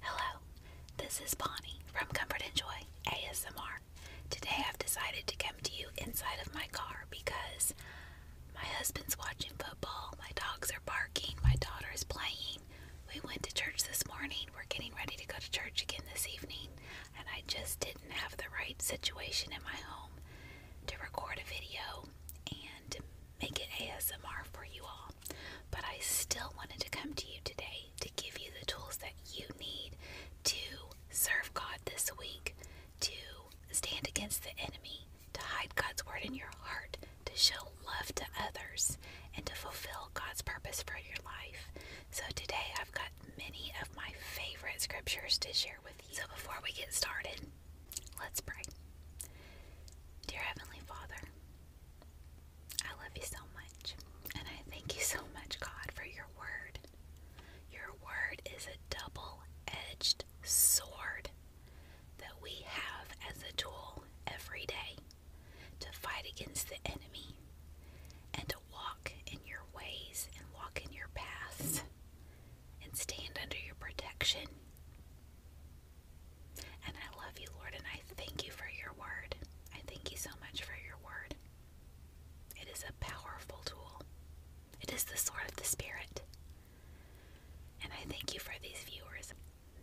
Hello, this is Bonnie from Comfort and Joy ASMR. Today I've decided to come to you inside of my car because my husband's watching football, my dogs are barking, my daughter is playing. We went to church this morning, we're getting ready to go to church again this evening, and I just didn't have the right situation in my home to record a video and make it ASMR for you all but I still wanted to come to you today to give you the tools that you need to serve God this week, to stand against the enemy, to hide God's word in your heart, to show love to others, and to fulfill God's purpose for your life. So today I've got many of my favorite scriptures to share with you. So before we get started, Let's pray. Dear Heavenly Father, I love you so much, and I thank you so much, God, for your word. Your word is a double edged sword that we have as a tool every day to fight against the enemy and to walk in your ways and walk in your paths and stand under your protection and I love you, Lord, and I thank you for your word. I thank you so much for your word. It is a powerful tool, it is the sword of the Spirit. And I thank you for these viewers.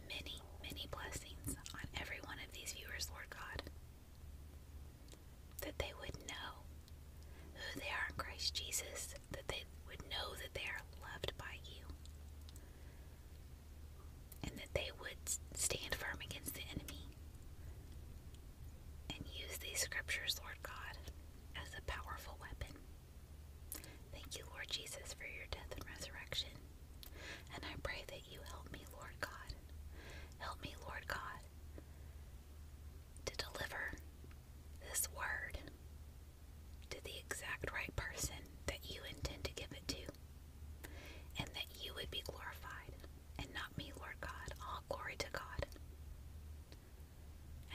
Many, many blessings on every one of these viewers, Lord God. That they would know who they are in Christ Jesus that they would know that they are loved by you and that they would stand firm against the enemy and use these scriptures, Lord God, as a powerful weapon. Thank you, Lord Jesus, for your death and resurrection. And I pray that you help me, Lord God. Help me, Lord God, to deliver this word to the exact right person that you intend to give it to, and that you would be glorified, and not me, Lord God. All glory to God.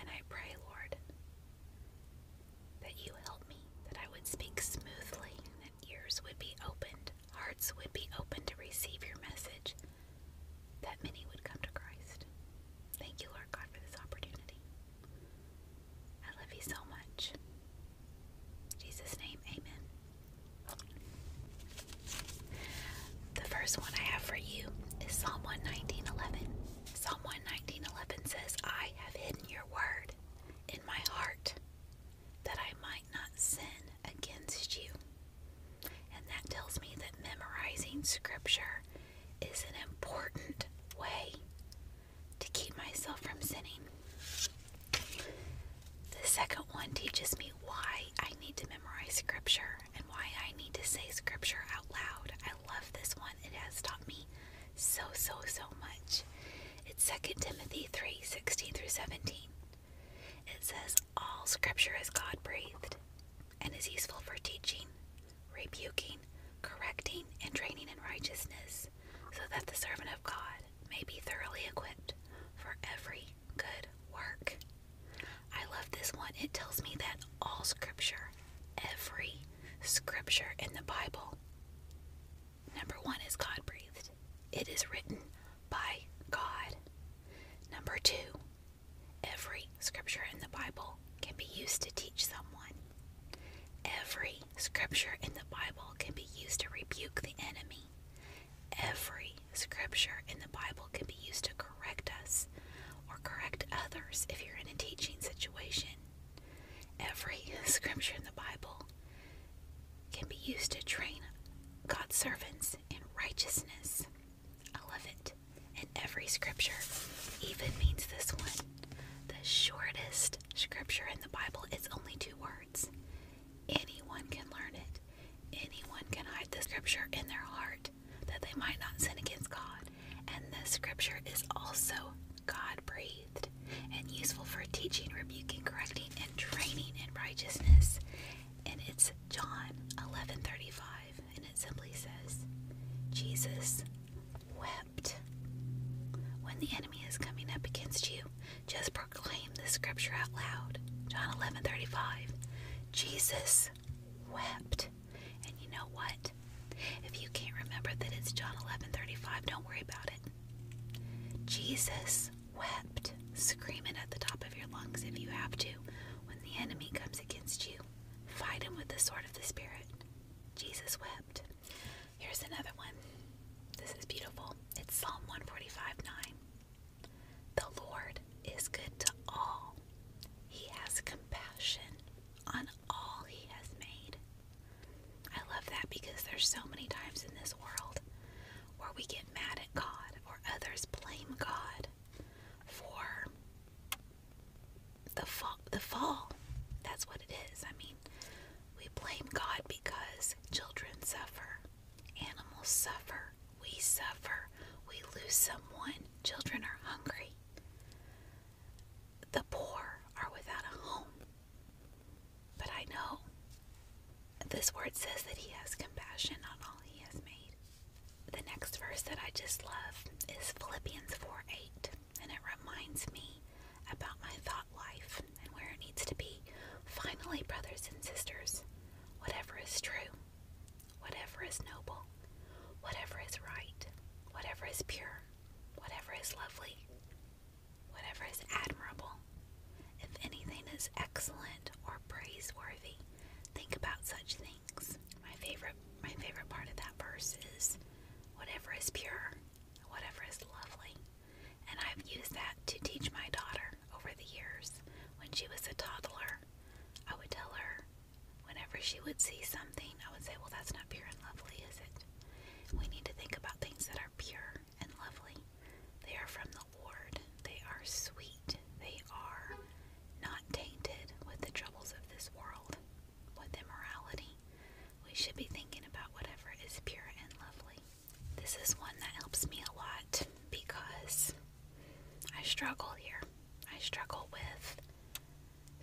And I pray, Lord, that you help me, that I would speak smoothly, that ears would be opened, hearts would be open to receive your message, that many would come to Christ. Thank you, Lord God, for this opportunity. I love you so much. Jesus' name, amen. The first one I have for you is Psalm 119.11. Psalm 119.11 says, I have hidden your word in my heart that I might not sin against you. And that tells me that memorizing scripture is an important way to keep myself from sinning. The second one teaches me why I need to memorize scripture and why I need to say scripture out loud. I love this one. It has taught me so, so, so much. It's 2 Timothy 3 16 through 17. It says, All scripture is God breathed and is useful for teaching, rebuking, correcting, and training in righteousness, so that the servant of God may be thoroughly equipped for every good work. I love this one. It tells me that all scripture, every scripture in the Bible, number one is God breathed. It is written by God. Number two, every scripture in the Bible can be used to teach someone. Every scripture in the Bible can be used to rebuke the enemy. Every scripture in the Bible can be used to correct us or correct others if you're in a teaching situation. Every scripture in the Bible can be used to train God's servants in righteousness. I And every scripture even means this one. The shortest scripture in the Bible It's only two words. Anyone can learn it. Anyone can hide the scripture in their heart that they might not sin against God. And this scripture is also God breathed and useful for teaching, rebuking, correcting, and training in righteousness. And it's John 11:35 and it simply says, Jesus wept. When the enemy is coming up against you, just proclaim the scripture out loud. John 11 35. Jesus wept. And you know what? If you can't remember that it's John 11 35, don't worry about it. Jesus wept. screaming at the top of your lungs if you have to when the enemy comes against you. Fight him with the sword of the Spirit. Jesus wept. Here's another one. This is beautiful. It's Psalm 145 9. The Lord is good to all, He has compassion on all He has made. I love that because there's so many times in this world where we get mad at God or others blame God for the fall the fall that's what it is i mean we blame god because children suffer animals suffer we suffer we lose someone children are hungry the poor are without a home but i know this word says that he has compassion on all he has made the next verse that I just love is Philippians 4 8, and it reminds me about my thought life and where it needs to be. Finally, brothers and sisters, whatever is true, whatever is noble, whatever is right, whatever is pure, whatever is lovely, whatever is admirable, if anything is excellent or praiseworthy, think about such things. My favorite my favorite part of that verse is whatever is pure, whatever is lovely. And I've used that to teach my daughter over the years. When she was a toddler, I would tell her whenever she would see something, I would say, Well, that's not pure and lovely, is it? We need to think about things that are pure and lovely. They are from the Lord, they are sweet, they are not tainted with the troubles of this world, with immorality. We should be thinking about whatever is pure and lovely. This is one that helps me a lot because I struggle here. I struggle with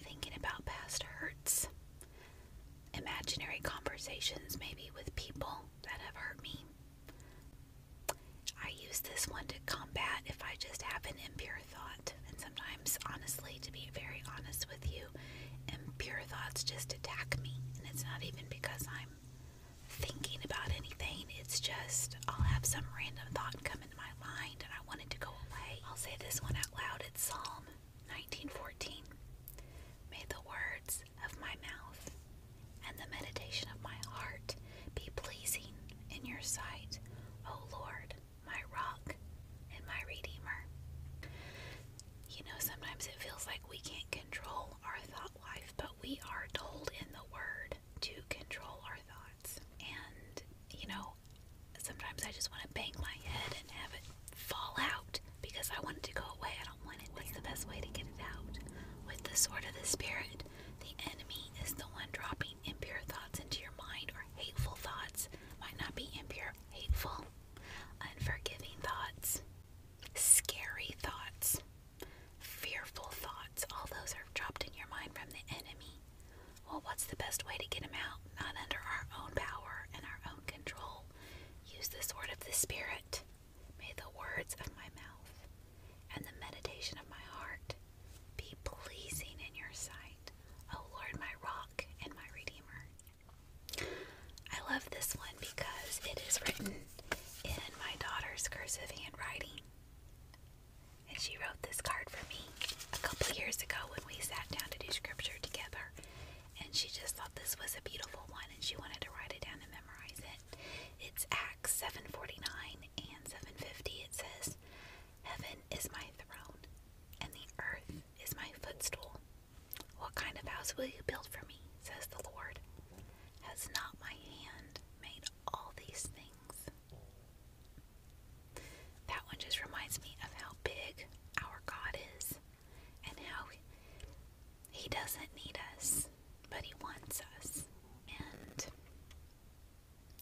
thinking about past hurts, imaginary conversations maybe with people that have hurt me, I use this one to combat if I just have an impure thought. And sometimes, honestly, to be very honest with you, impure thoughts just attack me. And it's not even because I'm thinking about anything, it's just I'll have some random thought come into my mind and I want it to go away. I'll say this one out loud. It's Psalm 1914. May the words of my mouth and the meditation of my heart be pleasing in your sight, O Lord, my rock and my redeemer. You know, sometimes it feels like we can't control our thought life, but we are told in the Word to control our thoughts. And, you know, sometimes I just want to bang my head and have it fall out because I want it to go away. I don't want it. What's the best way to get it out? With the sword of the Spirit, the enemy is the one dropping impure thoughts into your mind, or hateful thoughts might not be impure, hateful, unforgiving thoughts, scary thoughts, fearful thoughts. All those are dropped in your mind from the enemy. Well, what's the best way to get them out? Not under our own power and our own control. Use the sword of the Spirit. May the words of my mouth and the meditation of my heart be pleasing in your sight, O Lord, my rock and my redeemer. I love this one because it is written in my daughter's cursive handwriting. And she wrote this card for me a couple years ago when we sat down to do scripture together. And she just thought this was a beautiful one and she wanted to write it down and memorize it. It's Acts 7:49 and 750 it says, Heaven is my throne, and the earth is my footstool. What kind of house will you build for me, says the Lord? Has not my hand made all these things? That one just reminds me of how big our God is and how He doesn't need us, but He wants us. And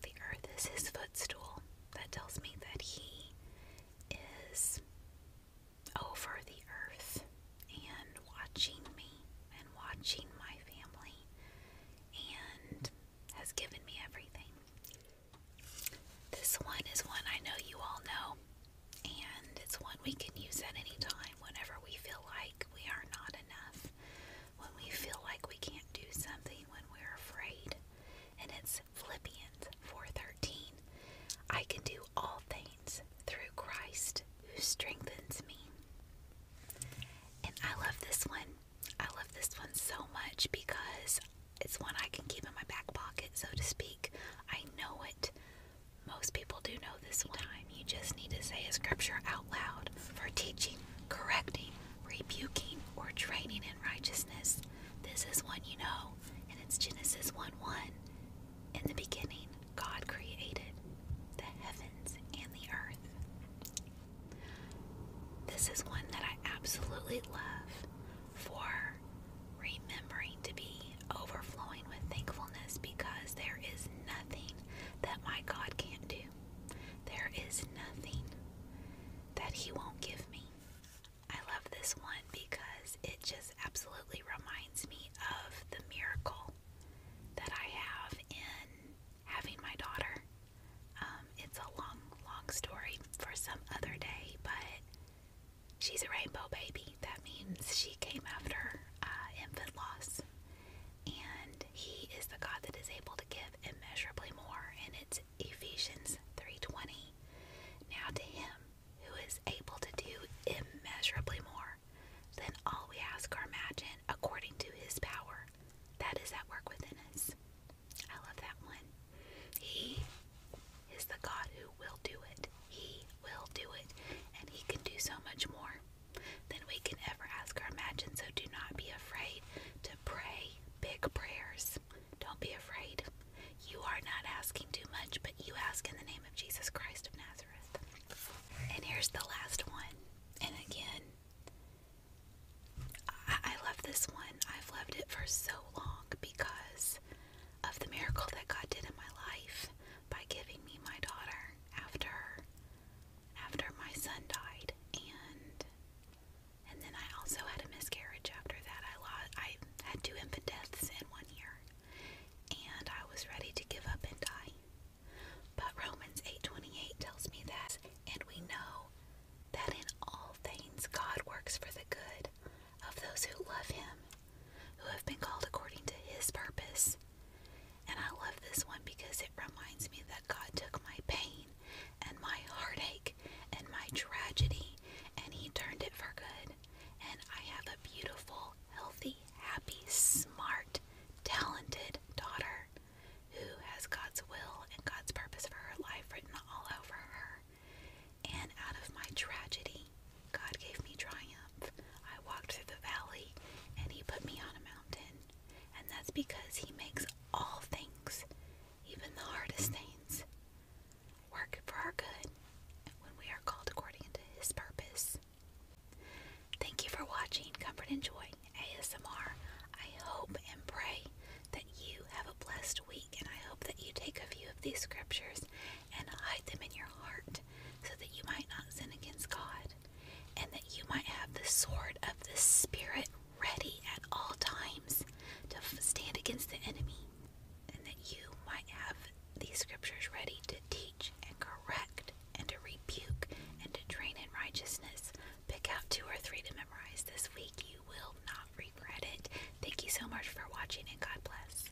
the earth is his footstool. That tells me that he is over the earth and watching me and watching my family and has given me everything. This one is one I know you all know, and it's one we can use at any time whenever we feel like we are not enough, when we feel like we can't do something when we're afraid. And it's Philippians 4:13. I can do all things through Christ who strengthens me. And I love this one. I love this one so much because it's one I can keep in my back pocket, so to speak. I know it. Most people do know this one time, you just need to say a scripture out loud for teaching, correcting, rebuking, or training in righteousness. This is one you know, and it's Genesis 1 1. In the beginning, God created the heavens and the earth. This is one that I absolutely love for remembering to be overflowing with thankfulness because there is nothing that my God can't do. There is nothing that He won't give me. I love this one because it just absolutely reminds me of the miracle that I have in having my daughter. Um, it's a long, long story for some other day, but she's a rainbow baby. That means she came after uh, infant loss and he is the God that is able to give immeasurably more and it's Ephesians 3:20 Now to him who is able to do immeasurably more than all we ask or imagine according to his power that is at work within us I love that one He is the God who will do it he will do it and he can do so much more than we can ever ask or imagine. So do not be afraid to pray big prayers. Don't be afraid. You are not asking too much, but you ask in the name of Jesus Christ of Nazareth. And here's the last one. And again, I, love this one. I've loved it for so long because of the miracle that God did in my life by giving me my daughter after after my son died and and then I also had a miscarriage after that. I lost I had two infant deaths in one year. And I was ready to give up and die. But Romans 8:28 tells me that and we know that in all things God works for the good of those who love him, who have been called according to his purpose. And I love this one because it reminds me that God took my pain and my heartache and my tragedy and He turned it for good. And I have a beautiful, healthy, happy, smart, talented daughter who has God's will and God's purpose for her life written all over her. And out of my tragedy, God gave me triumph. I walked through the valley, and He put me on a mountain. And that's because He makes all things, even the hardest things, work for our good when we are called according to His purpose. Thank you for watching Comfort and Joy ASMR. I hope and pray that you have a blessed week, and I hope that you take a few of these scriptures and hide them in your heart, so that you might not sin against God, and that you might have the sword of the Spirit ready at all times to stand against the enemy, and that you might have these scriptures ready to teach and correct and to rebuke and to train in righteousness. Pick out two or three to memorize this week. You will not regret it. Thank you so much for watching, and God bless.